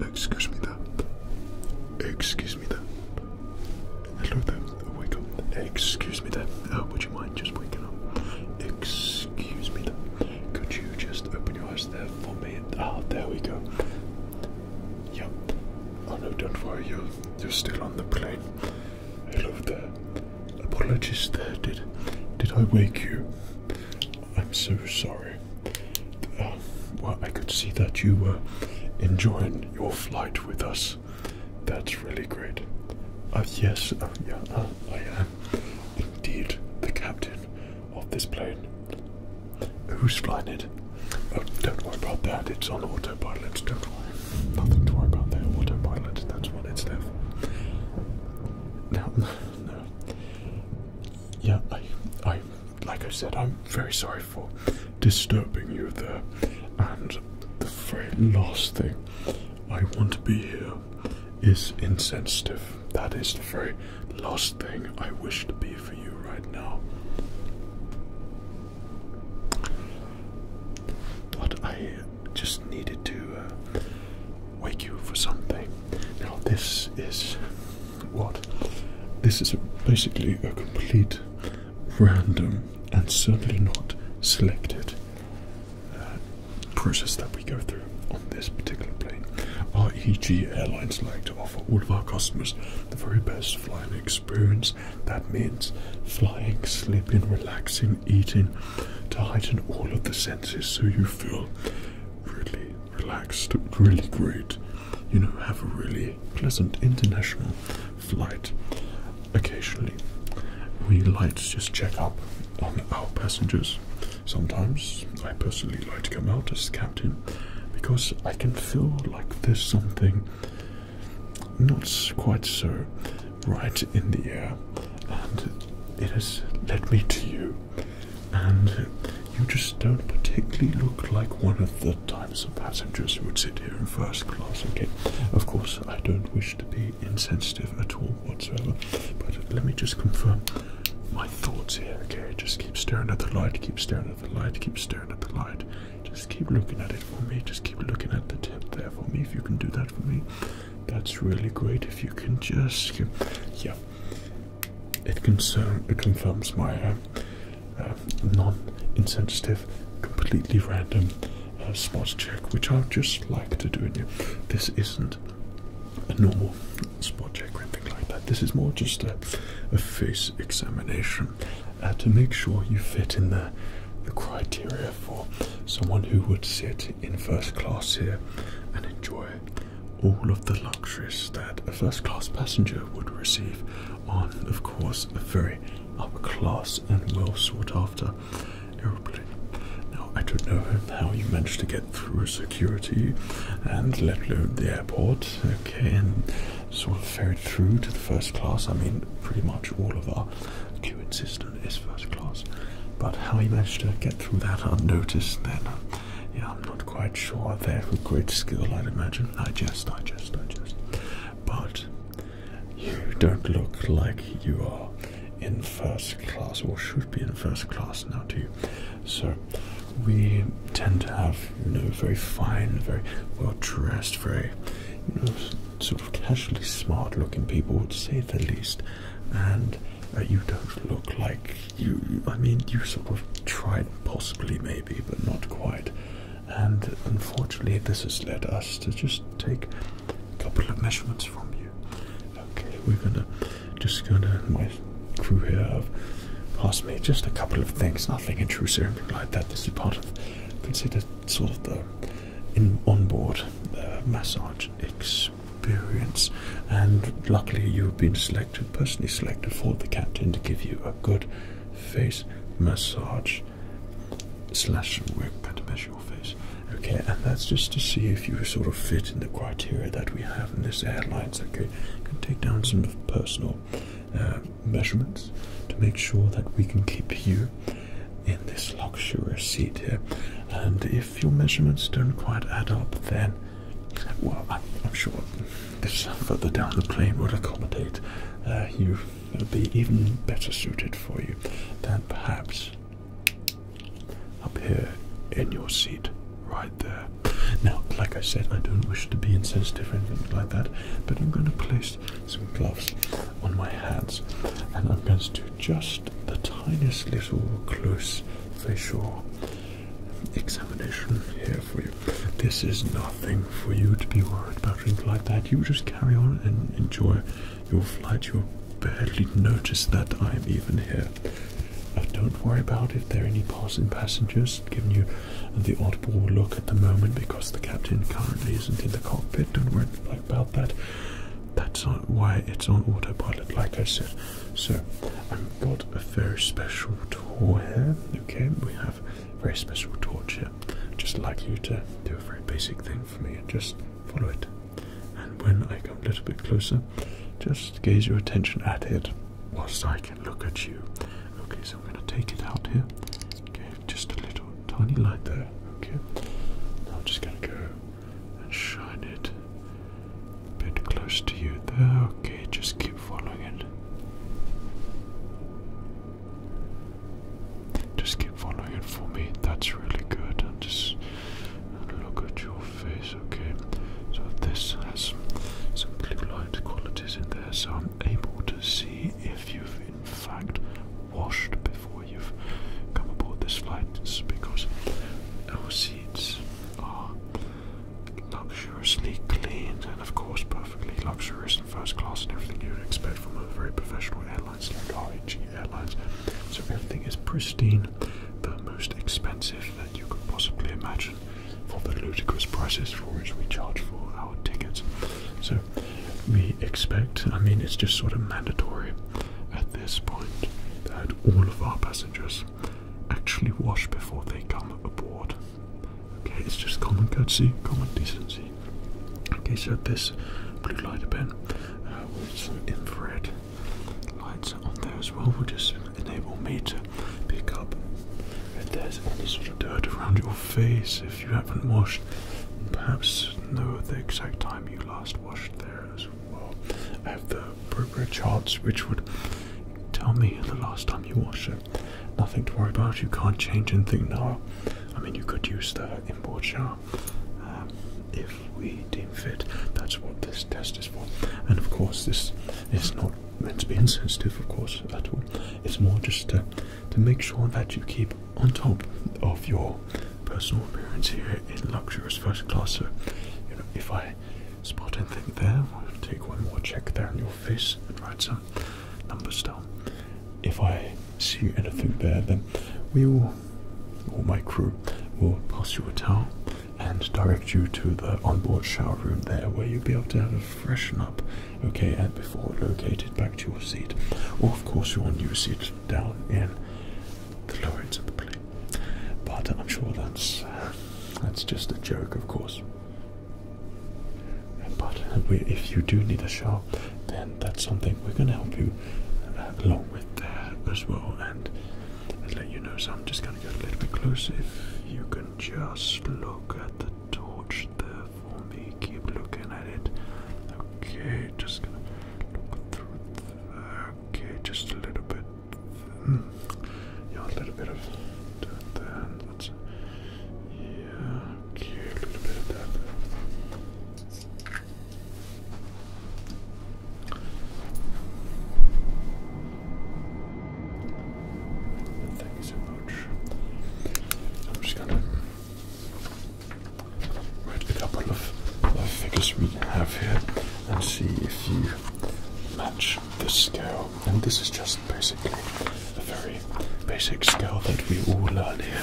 Excuse me there. Excuse me there. Hello there. wake up. Excuse me there. Oh, would you mind just waking up? Excuse me there. Could you just open your eyes there for me? Ah, there we go. Yep. Oh no, don't worry. You're, you're still on the plane. Hello there. Apologies Did did I wake you? I'm so sorry. Uh, well, I could see that you were enjoying your flight with us. That's really great. Uh, yes, uh, yeah, uh, I am indeed the captain of this plane. Who's flying it? Oh, don't worry about that. It's on autopilot. Don't worry. Nothing to worry about there. Autopilot. That's what it's there Now yeah, I, I, like I said, I'm very sorry for disturbing you there. And the very last thing I want to be here is insensitive. That is the very last thing I wish to be for you right now. But I just needed to uh, wake you for something. Now this is what? This is basically a complete random and certainly not selected uh, process that we go through on this particular plane. Our EG Airlines like to offer all of our customers the very best flying experience. That means flying, sleeping, relaxing, eating, to heighten all of the senses so you feel really relaxed, really great. You know, have a really pleasant international flight. Occasionally, we like to just check up on our passengers. Sometimes I personally like to come out as captain because I can feel like there's something not quite so right in the air and it has led me to you. And you just don't particularly look like one of the types of passengers who would sit here in first class, okay? Of course, I don't wish to be insensitive at all whatsoever, but let me just confirm my thoughts here, okay? Just keep staring at the light, keep staring at the light, keep staring at the light. Just keep looking at it for me, just keep looking at the tip there for me, if you can do that for me. That's really great if you can just. Yeah, it, concern, it confirms my uh, uh, non insensitive, completely random uh, spot check, which I just like to do in you. This isn't a normal spot check or anything like that. This is more just a, face examination to make sure you fit in the, the criteria for someone who would sit in first class here and enjoy all of the luxuries that a first class passenger would receive on, of course, a very upper class and well sought after aeroplane. Now, I don't know how you managed to get through security and let alone the airport, okay, and sort of ferried through to the first class. I mean, pretty much all of our queuing system is first class. But how he managed to get through that unnoticed, then, yeah, I'm not quite sure. There, with great skill, I'd imagine. Digest, digest, digest. But you don't look like you are in first class, or should be in first class now, do you? So, we tend to have, you know, very fine, very well dressed, very, you know, sort of casually smart looking people, would say the least and uh, you don't look like you, I mean, you sort of tried, possibly, maybe, but not quite. And unfortunately, this has led us to just take a couple of measurements from you. Okay, we're gonna just gonna. My crew here have passed me just a couple of things, nothing intrusive, anything like that. This is part of considered sort of the in onboard uh, massage. Experience experience, and luckily you've been selected, personally selected for the captain to give you a good face massage slash work to measure your face. Okay, and that's just to see if you sort of fit in the criteria that we have in this airlines. Okay, can take down some personal uh, measurements to make sure that we can keep you in this luxury seat here. And if if your measurements don't quite add up, then, well, I'm, sure this further down the plane would accommodate uh, you, It'll uh, be even better suited for you than perhaps up here in your seat right there. Now, like I said, I don't wish to be insensitive or anything like that, but I'm going to place some gloves on my hands and I'm going to just the tiniest little close facial examination here for you. This is nothing for you to be worried about anything like that. You just carry on and enjoy your flight. You'll barely notice that I'm even here. Uh, don't worry about if there are any passing passengers Given you the audible look at the moment because the captain currently isn't in the cockpit. Don't worry about that. That's why it's on autopilot, like I said. So, I've got a very special torch here. Okay, we have a very special torch here. just like you to do a very basic thing for me and just follow it. And when I come a little bit closer, just gaze your attention at it whilst I can look at you. Okay, so I'm going to take it out here. Okay, just a little tiny light there. Okay, I'm just going to go and shine it a bit close to you there. Okay, just keep following it. Just keep following it for me. That's really good. And just look at your face. Okay, so this has some blue light qualities in there, so I'm able to see if you've in fact washed before you've come aboard this flight. because I will see are luxuriously cleaned and, of course, perfectly luxurious and first class and everything you would expect from a very professional airline like RHG Airlines. So everything is pristine, the most expensive that you could possibly imagine for the ludicrous prices for which we charge for our tickets. So we expect, I mean, it's just sort of mandatory at this point that all of our passengers actually wash before they come aboard. Okay, it's just common courtesy, common decency. Okay, so this blue lighter pen uh, with some infrared lights on there as well will just enable me to pick up if there's any sort of dirt around your face if you haven't washed. Perhaps know the exact time you last washed there well. I have the progress charts, which would tell me the last time you washed it. Nothing to worry about. You can't change anything now. I mean, you could use the inboard shower um, if we deem fit. That's what this test is for. And of course, this is not meant to be insensitive, of course, at all. It's more just to to make sure that you keep on top of your personal appearance here in luxurious first class. So, you know, if I spot anything there, we'll take one more check there on your face and write some numbers down. If I see anything there, then we or my crew, will pass you a towel and direct you to the onboard shower room there where you'll be able to have a freshen up, okay, and before located back to your seat. Or, of course, your new seat down in the loads of the plane. But I'm sure that's uh, that's just a joke, of course. But uh, if you do need a shower, then that's something we're going to help you uh, along with there as well. And let you know. So I'm just going to get a little bit closer. you can just look at the torch there for me, keep looking at it. Okay, just going to look through Okay, just a little bit. Hmm. Yeah, a little bit of that. Then yeah. Okay, a little bit of that. Thank you so much. I'm just gonna write a couple of figures we have here and see if you match the scale. And this is just basically a very basic scale that we all learn here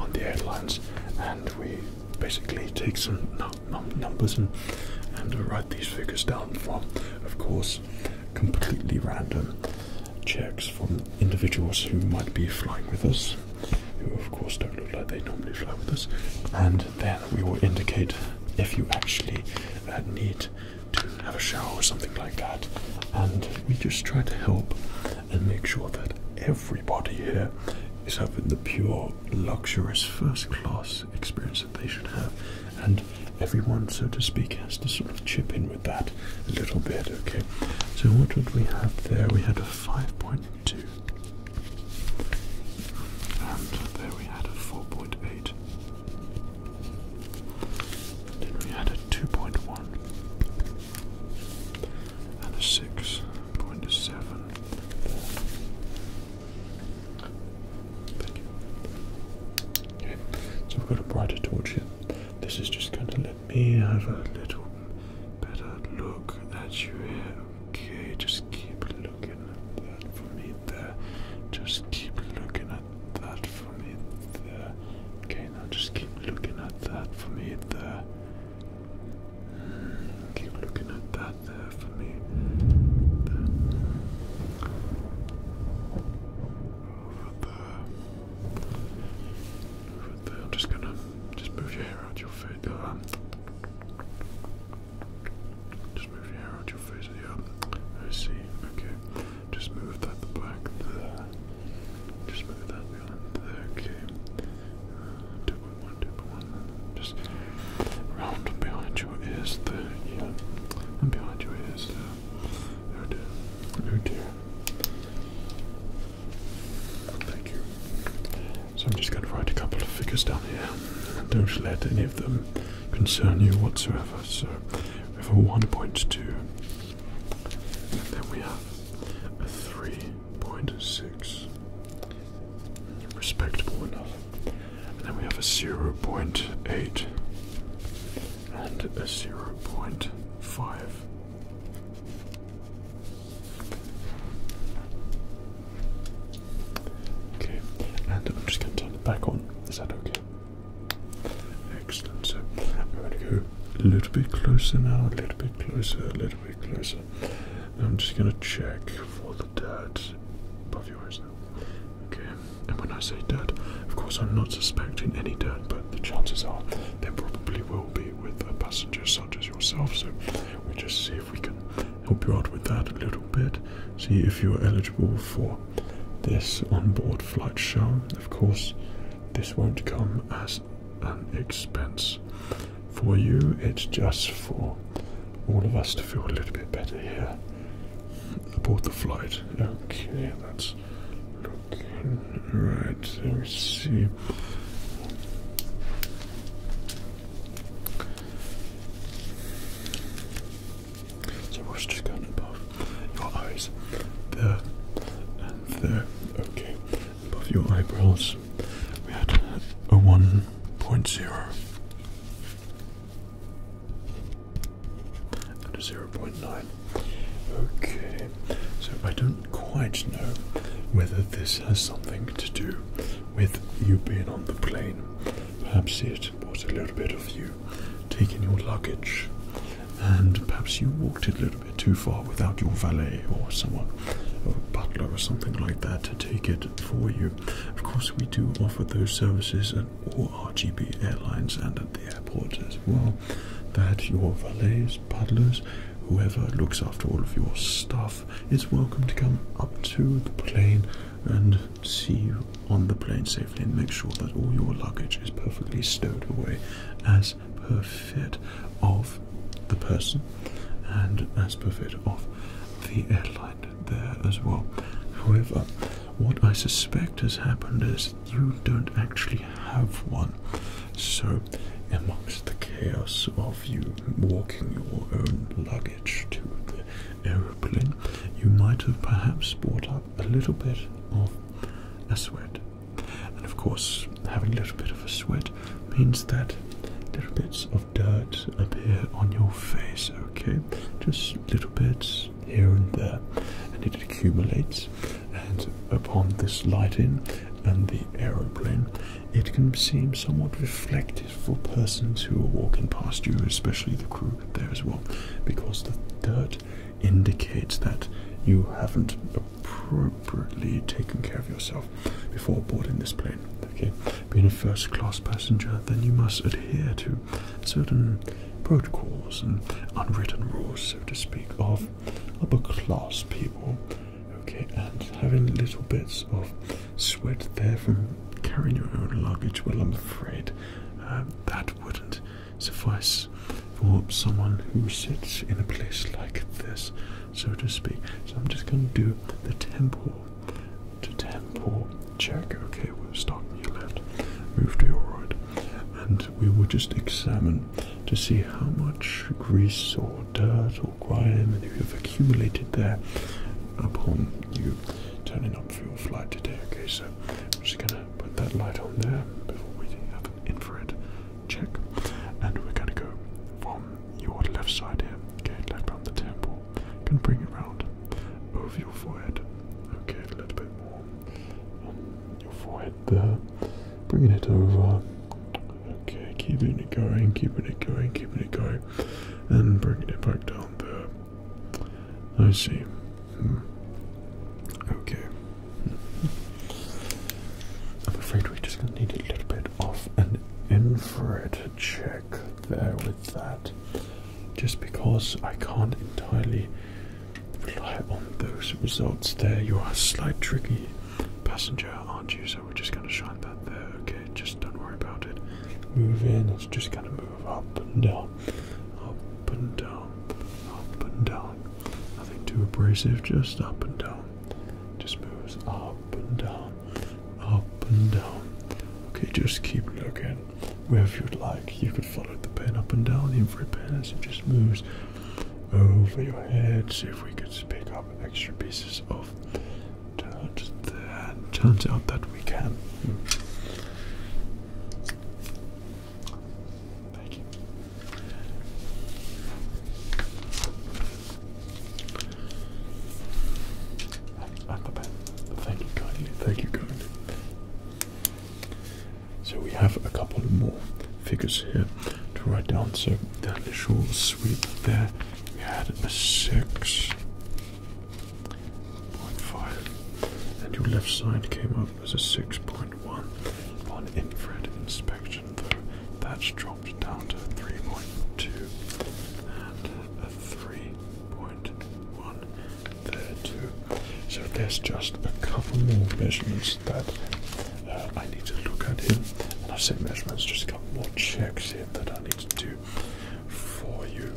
on the airlines, and we basically take some numbers and write these figures down for, of course, completely random checks from individuals who might be flying with us, who of course don't look like they normally fly with us, and then we will indicate if you actually uh, need to have a shower or something like that. And we just try to help and make sure that everybody here is having the pure, luxurious, first class experience that they should have. And everyone, so to speak, has to sort of chip in with that a little bit, okay? So, what did we have there? We had a 5.9 2. And there we had a 4.8. Then we had a 2.1. And a 6.7. Thank you. Okay, so we've got a brighter torch here. This is just going to let me have a little better look at you here. Okay, just keep looking at that for me there. Just keep looking at that for me there. Okay, now just keep looking at that for me there. Mm, keep looking at that there for me. There. Over there. Over there. I'm just gonna just move your hair out your face. Um, just move your hair out your face. Yeah, I see. Okay. Just move that back there. Just move that behind there. Okay. Uh, Just round behind your ears there. Yeah. And behind your ears there. Oh dear. Oh dear. Thank you. So I'm just going to write a couple of figures down here. Don't let any of them concern you whatsoever. So we have a 1.2, and then we have a 3.6, respect point, And then we have a 0.8 and a 0.5. Okay, and I'm just going to turn it back on. Is that okay? Excellent. So I'm going to go a little bit closer now, a little bit closer, a little bit closer. And I'm just going to check for the dirt above your eyes now. Okay, and when I say dirt, of course I'm not suspecting any dirt, but the chances are there probably will be with a passenger such as yourself. So we just see if we can help you out with that a little bit. See if you're eligible for this onboard flight show. Of course, this won't come as an expense for you, it's just for all of us to feel a little bit better here aboard the flight. Okay, that's looking right. Let me see. So what's just going above your eyes, there and there. Okay, above your eyebrows, we had a 1.0 and a 0.9. Okay, so I don't quite know whether this has something to do with you being on the plane. Perhaps it was a little bit of you taking your luggage, and perhaps you walked it a little bit too far without your valet or someone, or butler or something like that, to take it for you. Of course, we do offer those services at all RGB airlines and at the airports as well. That your valets, butlers, whoever looks after all of your stuff is welcome to come up to the plane and see you on the plane safely and make sure that all your luggage is perfectly stowed away as per fit of the person and as per fit of the airline there as well. However, what I suspect has happened is you don't actually have one. So, amongst the chaos of you walking your own luggage, to the aeroplane, you might have perhaps brought up a little bit of a sweat. And of course, having a little bit of a sweat means that little bits of dirt appear on your face, okay? Just little bits here and there, and it accumulates. And upon this lighting and the aeroplane, it can seem somewhat reflective for persons who are walking past you, especially the crew there as well, because the dirt indicates that you haven't appropriately taken care of yourself before boarding this plane. Okay, being a first class passenger, then you must adhere to certain protocols and unwritten rules, so to speak, of upper class people Okay, and having little bits of sweat there from carrying your own luggage, well, I'm afraid um, that wouldn't suffice for someone who sits in a place like this, so to speak. So I'm just going to do the tempo to tempo check. Okay, we'll start here left, move to your right, and we will just examine to see how much grease or dirt or grime and you have accumulated there upon you turning up for your flight today. Okay, so I'm just gonna put that light on there before we have an infrared check, and we're gonna go from your left side here, okay, left round the temple, gonna bring it round over your forehead, okay, a little bit more on your forehead there, bringing it over Okay, keeping it going, keeping it going, keeping it going, and bringing it back down there. I see. Hmm. Okay. I'm afraid we're just going to need a little bit of an infrared check there with that, just because I can't entirely rely on those results there. You are slightly tricky passenger aren't you? So we're just gonna shine that there. Okay, just don't worry about it. Move in. It's just gonna move up and down, up and down, up and down. Nothing too abrasive. Just up and down. Just moves up and down, up and down. Okay, just keep looking. Wherever you'd like, you could follow the pen up and down. The pen as it just moves over your head. See if we could pick extra pieces of Turns, the, turns out that we can. Hmm. Thank you. i the best. Thank you kindly. Thank you kindly. So we have a couple more figures here to write down. So the initial sweep there we had a six point five, and your left side came up as a six point one. Upon infrared inspection, though, that's dropped down to three point two and a three point one there too. So there's just a couple more measurements that uh, I need to look at here. And I have said measurements, just a couple more checks here that I need to do for you.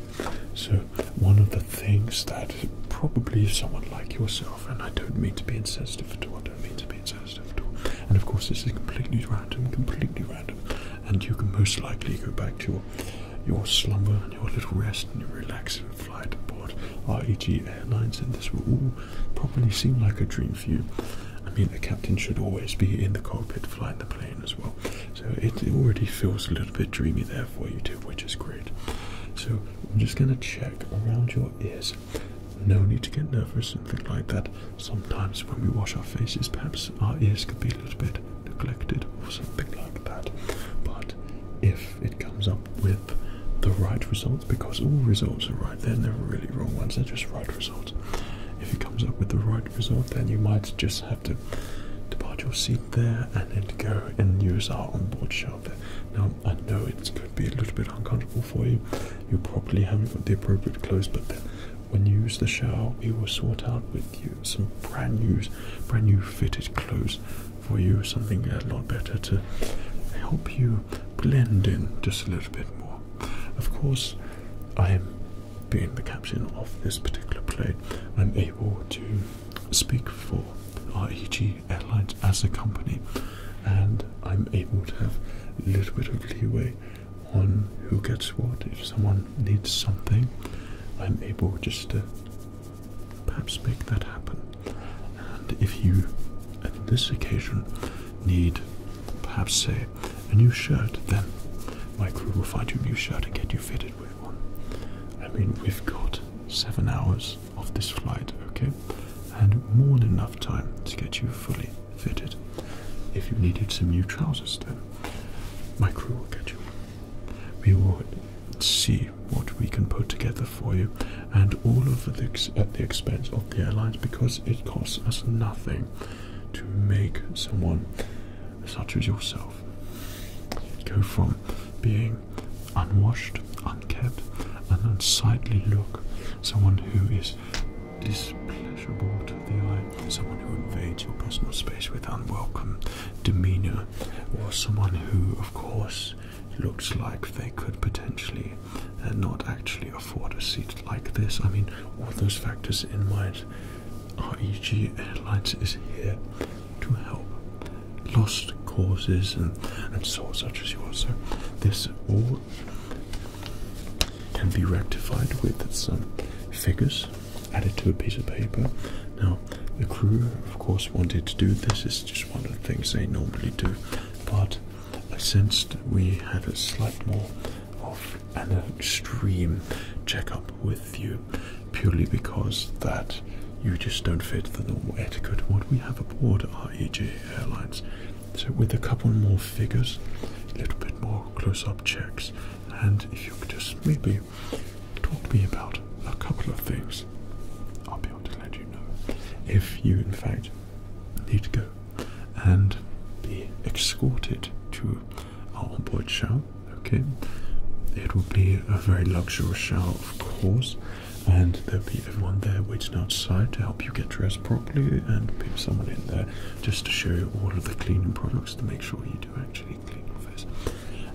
So, one of the things that probably someone like yourself, and I don't mean to be insensitive at all, I don't mean to be insensitive at all, and of course, this is completely random, completely random, and you can most likely go back to your, slumber and your little rest and your relaxing flight aboard REG Airlines, and this will all probably seem like a dream for you. I mean, the captain should always be in the cockpit flying the plane as well. So it, already feels a little bit dreamy there for you too, which is great. So I'm just going to check around your ears. No need to get nervous, something like that. Sometimes when we wash our faces, perhaps our ears could be a little bit neglected or something like that. But if it comes up with the right results, because all results are right, they're never really wrong ones, they're just right results. If it comes up with the right result, then you might just have to depart your seat there and then go and use our onboard shelter. Now, I know it's going to be a little bit uncomfortable for you. You probably haven't got the appropriate clothes, but when you use the shower, we will sort out with you some brand new, brand new fitted clothes for you, something a lot better to help you blend in just a little bit more. Of course, I am being the captain of this particular plane, I'm able to speak for REG Airlines as a company, and I'm able to have a little bit of leeway on who gets what. If someone needs something, I'm able just to perhaps make that happen. And if you, at this occasion, need Perhaps say a new shirt, then my crew will find you a new shirt and get you fitted with one. I mean, we've got seven hours of this flight, okay? And more than enough time to get you fully fitted. If you needed some new trousers, then my crew will get you. We will see what we can put together for you, and all of the at the expense of the airlines because it costs us nothing to make someone such as yourself go from being unwashed, unkept, an unsightly look, someone who is displeasurable to the eye, someone who invades your personal space with unwelcome demeanor, or someone who, of course, looks like they could potentially uh, not actually afford a seat like this. I mean, all those factors in mind REG Airlines is here to help lost causes and, and so such as yours. So this all can be rectified with some figures added to a piece of paper. Now the crew of course wanted to do this, it's just one of the things they normally do, but I uh, sensed we had a slight more of an extreme checkup with you purely because that you just don't fit the normal etiquette what we have aboard REJ Airlines. So with a couple more figures, a little bit more close-up checks, and if you could just maybe talk to me about a couple of things, I'll be able to let you know if you in fact need to go and be escorted to on board shell. Okay, it will be a very luxurious shower, of course, and there'll be everyone there waiting outside to help you get dressed properly, and someone in there just to show you all of the cleaning products to make sure you do actually clean your face.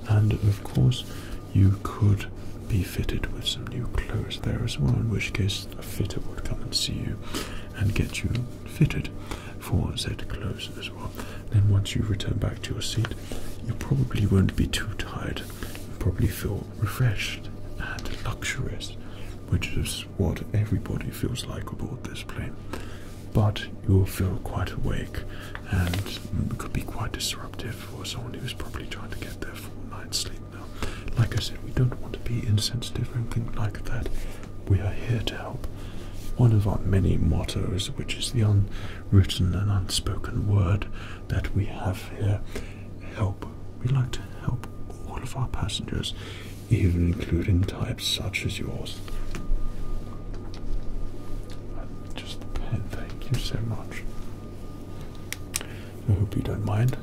And of course, you could be fitted with some new clothes there as well, in which case a fitter would come and see you and get you fitted for that clothes as well. Then once you return back to your seat, you probably won't be too tired. You probably feel refreshed and luxurious, which is what everybody feels like aboard this plane. But you'll feel quite awake and mm, could be quite disruptive for someone who's probably trying to get their full night's sleep now. Like I said, we don't want to be insensitive or anything like that. We are here to help. One of our many mottos, which is the unwritten and unspoken word that we have here help. We like to help all of our passengers, even including types such as yours. Just pen, thank you so much. I hope you don't mind.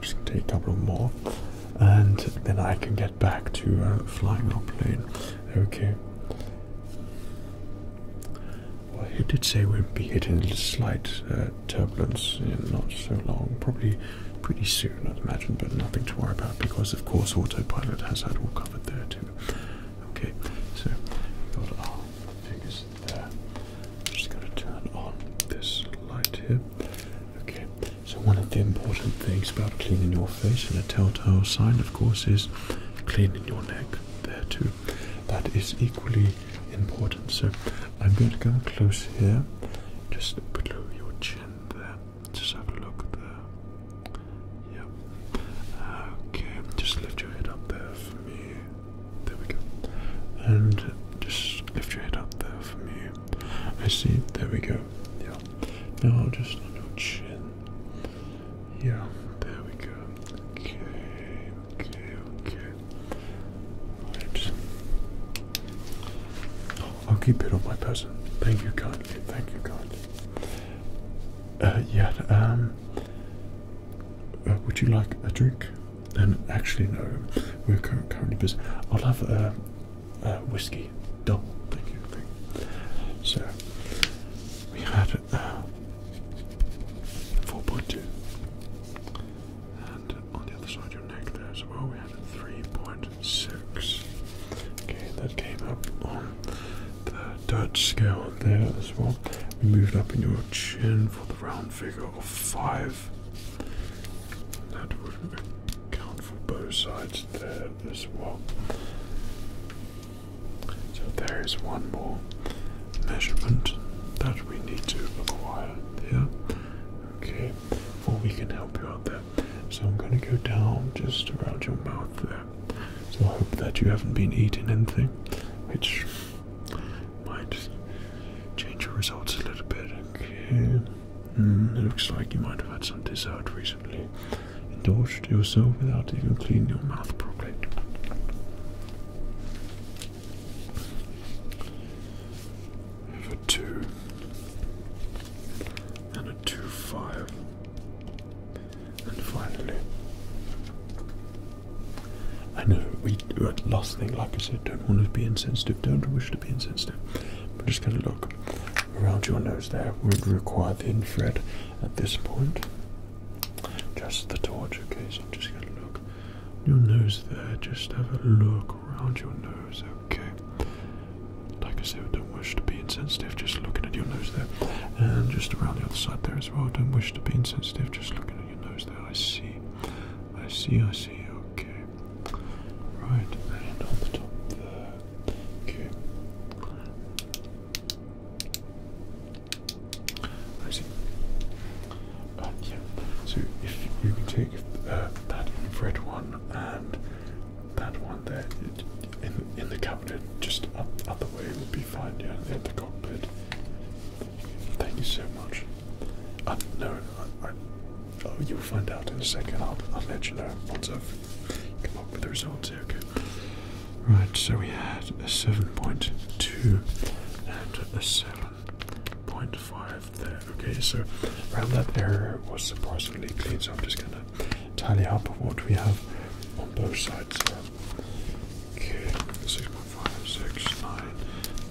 just take a couple more and then I can get back to uh, flying our plane. Okay. Well, he did say we'd be hitting slight uh, turbulence in not so long, probably pretty soon, I'd imagine, but nothing to worry about because, of course, autopilot has that all covered there too. Okay, so got our figures there. I'm just going to turn on this light here. Okay, so one of the important things about cleaning your face and a telltale sign of course is cleaning your neck there too. That is equally important. So I'm going to go close here, just below your chin there. Just have a look there. Yep. Okay, just lift your head up there for me. There we go. And just lift your head up there for me. I see. There we go. Yeah. Now I'll just on your chin. Yeah. There we go. Okay. Okay. Okay. I'll keep it on my person. Thank you God. Thank you God. Uh, yeah. Um. Uh, would you like a drink? And um, actually no, we're currently busy. I'll have a, uh, uh, whiskey double. Thank you. Thank you. So we had uh, 4.2, and on the other side of your neck there as well, we had a 3.6. Okay, that came up on the Dutch scale there as well. We moved up in your chin for the round figure of 5. That would have Account for both sides there as well. So there is one more measurement that we need to acquire there. Okay, or we can help you out there. So I'm going to go down just around your mouth there. I hope that you haven't been eating anything, which might change your results a little bit. Okay. Mm, it looks like you might have had some dessert recently. Indulged yourself without even cleaning your mouth properly. Have a two and a two five, and finally. I know we last thing, like I said, don't want to be insensitive. Don't wish to to be I'm just going to look around your nose there. Would require the infrared at this point. Just the torch, okay? So I'm just going to look your nose there. Just have a look around your nose, okay? Like I said, don't wish to be insensitive. Just looking at your nose there, and just around the other side there as well. Don't wish to be insensitive. Just looking at your nose there. I see. I see. I see. Okay. Right, and on the top there. Okay. I uh, So if you can take uh, that infrared one and that one there in in the cabinet, just up other way would be fine. Yeah, in the cockpit. Thank you so much. Uh, no, I, Oh, you'll find out in a second. I'll, I'll mention her once I've come up with the results here. Okay. Right, so we had a 7.2 and a 7.5 there. Okay, so around that area was surprisingly clean, so I'm just going to tally up what we have on both sides Okay, 6.5, 6,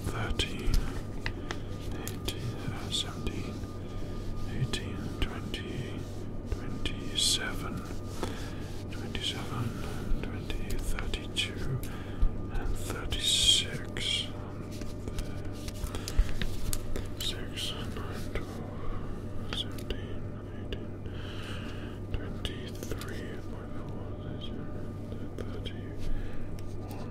13, uh, 17. 18, 20, 27, 27, 20, 32, and 36. Six, nine, twelve, seventeen, eighteen, twenty-three, twenty-four, thirty, thirty-one,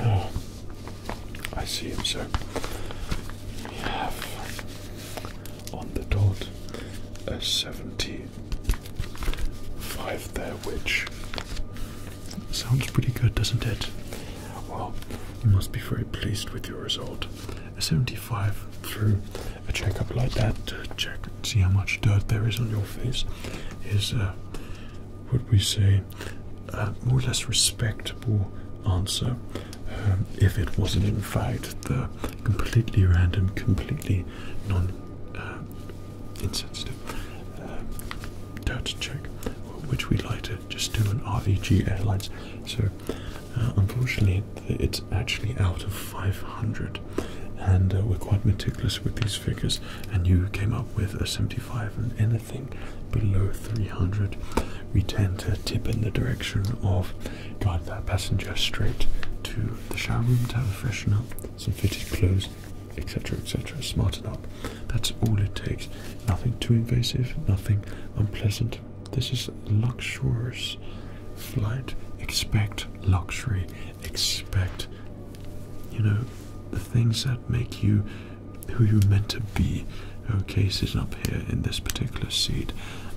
Oh, I see him, sir. we have on the dot a 75 there, which sounds pretty good, doesn't it? Well, you must be very pleased with your result. A 75 through a checkup like that check and see how much dirt there is on your face is uh, what we say a more or less respectable answer um, if it wasn't in fact the completely random, completely non uh, insensitive uh, data check, which we like to just do on RVG Airlines. So uh, unfortunately, it's actually out of 500 and uh, we're quite meticulous with these figures and you came up with a 75 and anything below 300 we tend to tip in the direction of guide that passenger straight to the shower room to have a freshen up some fitted clothes etc etc smarten up that's all it takes nothing too invasive nothing unpleasant this is luxurious flight expect luxury expect, you know, the things that make you who you're meant to be. Okay, uh, sitting up here in this particular seat,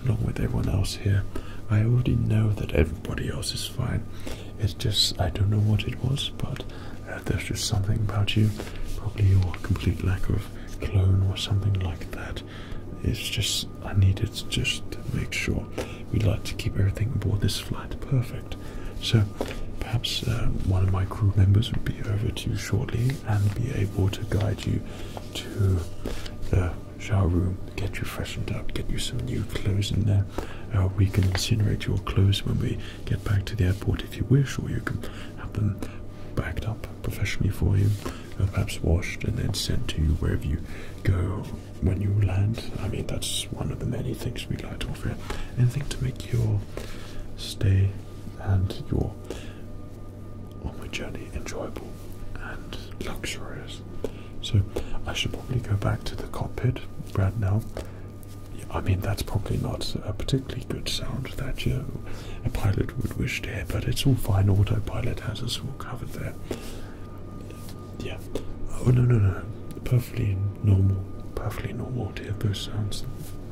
along with everyone else here. I already know that everybody else is fine. It's just, I don't know what it was, but uh, there's just something about you. Probably your complete lack of clone or something like that. It's just, I needed to just make sure we'd like to keep everything aboard this flight perfect. So perhaps uh, one of my crew members would be over to you shortly and be able to guide you to the shower room, get you freshened up, get you some new clothes in there. Uh, we can incinerate your clothes when we get back to the airport if you wish, or you can have them backed up professionally for you, uh, perhaps washed and then sent to you wherever you go when you land. I mean, that's one of the many things we like to offer. Anything to make your stay and your onward journey enjoyable and luxurious. So, I should probably go back to the cockpit right now. I mean, that's probably not a particularly good sound that a pilot would wish to hear, but it's all fine. Autopilot has us all covered there. Yeah. Oh no no no. Perfectly normal. Perfectly normal those sounds.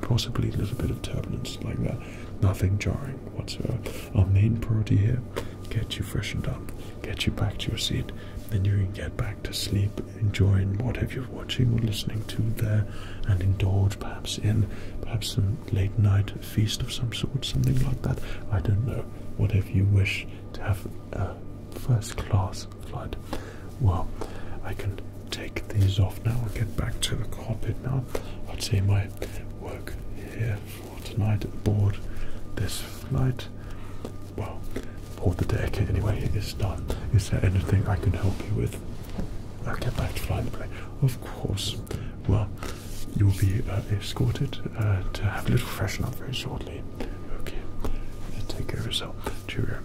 Possibly a little bit of turbulence like that. Nothing jarring whatsoever. Our main priority here, get you freshened up, get you back to your seat, then you can get back to sleep, enjoy whatever you're watching or listening to there, and indulge perhaps in perhaps some late night feast of some sort, something like that. I don't know. Whatever you wish to have uh, first class flight. Well, I can take these off now and get back to the cockpit now. I'd say my work here for tonight at board this flight. Well, aboard the deck anyway it is done. Is there anything I can help you with? I'll get back to flying the plane. Of course. Well, you'll be uh, escorted uh, to have a little freshen up very shortly. Okay, take care of yourself. Cheerio.